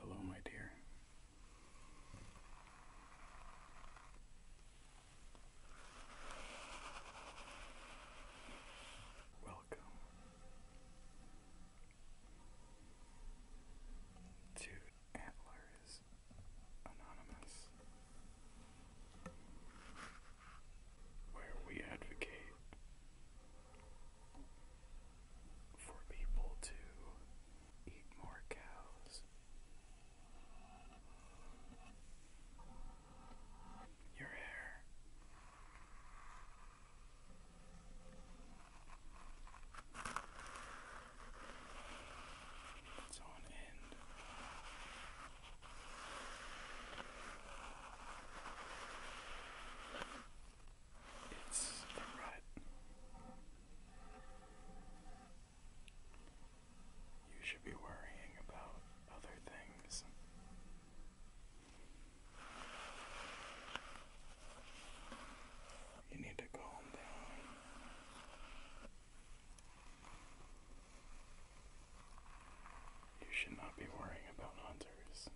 Hello, my dear. Welcome to Antlers Anonymous, where we advocate for people to eat more cows. Your hair. It's on end. It's alright. You should be worrying about other things. You need to calm down. You should not be worrying about hunters.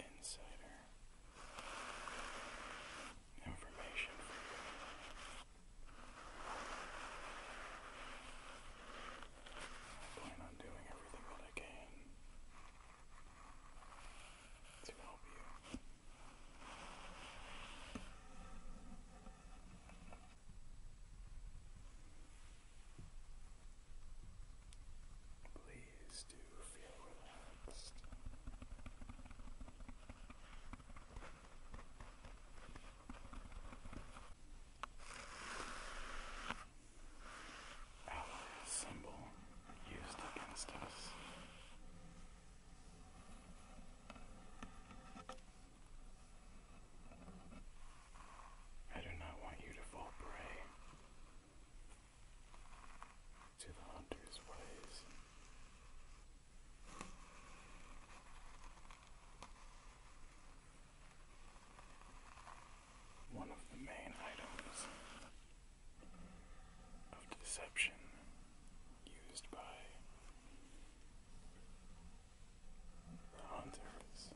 insider information I plan on doing everything that I can to help you. Please do feel relaxed. Our symbol used against us. I do not want you to fall prey to the hunter's ways. One of the main items of deception used by the hunters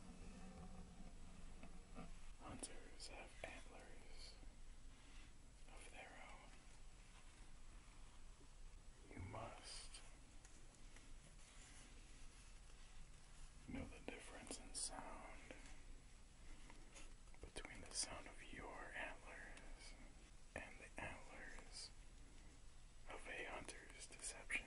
Hunters have antlers of their own. You must know the difference in sound between the sound of your antlers and the antlers of a hunter's deception.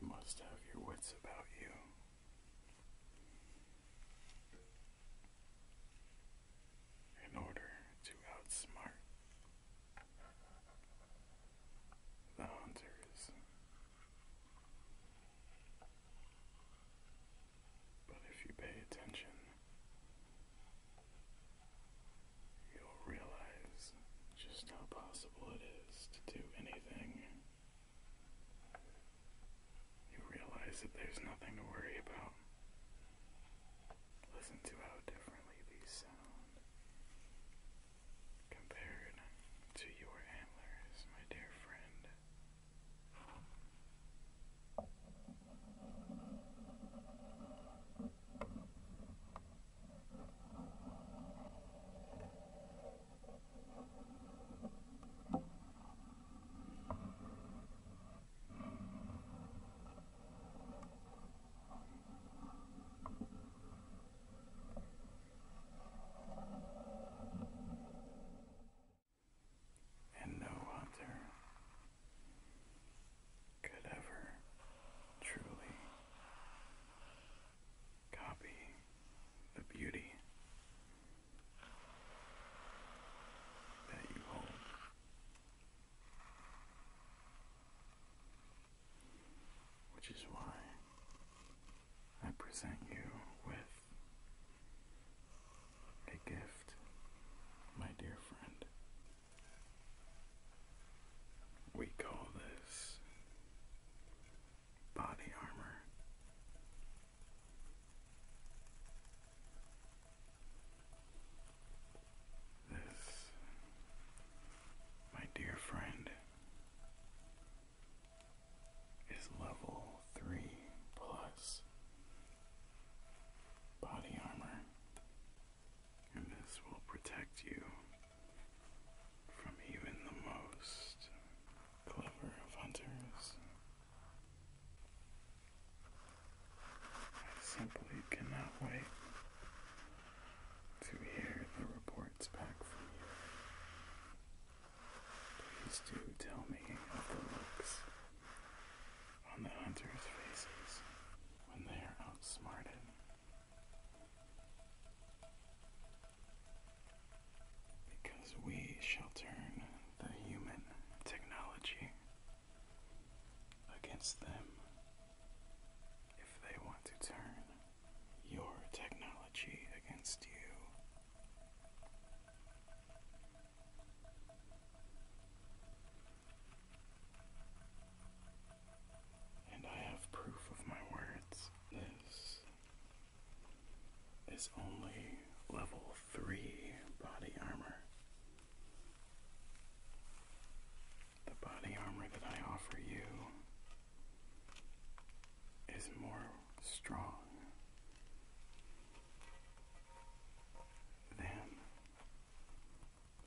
You must have your wits about you. In order to outsmart the hunters. But if you pay attention, You'll realize just how possible it is to do anything. You realize that there's nothing to worry about. Listen to how differently these sound compared to your antlers, my dear friend. And no hunter could ever truly copy the beauty that you hold. Which is why I present you with a gift, my dear friend. We call this body armor. This, my dear friend, is level three plus body armor, and this will protect you from even the most clever of hunters. I simply cannot wait to hear the reports back from you. Please do tell me of the looks on the hunters' faces when they are outsmarted. Because we shall turn the human technology against them if they want to turn your technology against you. And I have proof of my words. This is only level 3 body armor. The body armor that I offer you is more strong than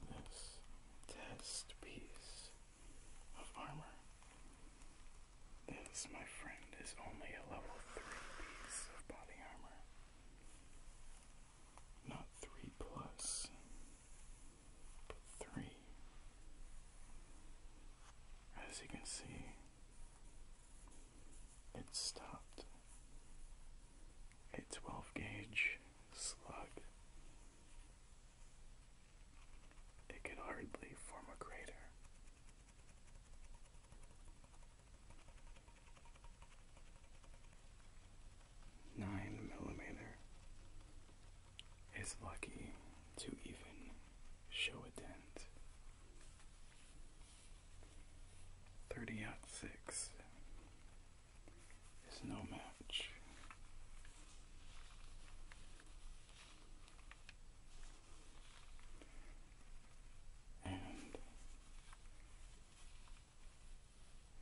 this test piece of armor. This, my friend, is only a level 3 piece of body armor. Not 3 plus, 3. As you can see, it stopped a 12 gauge slug. It could hardly form a crater. Nine millimeter is lucky to even show a dent. Thirty out six is no match. And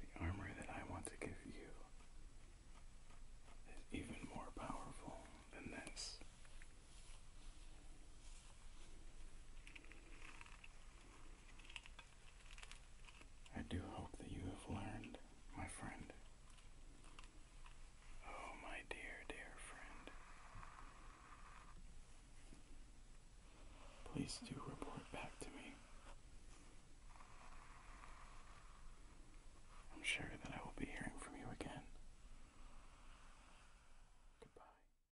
the armor that I want to give you is even more powerful than this. I do hope that you have learned, my friend. Oh, my dear, dear friend. Please do report back to me. I'm sure that I will be hearing from you again. Goodbye.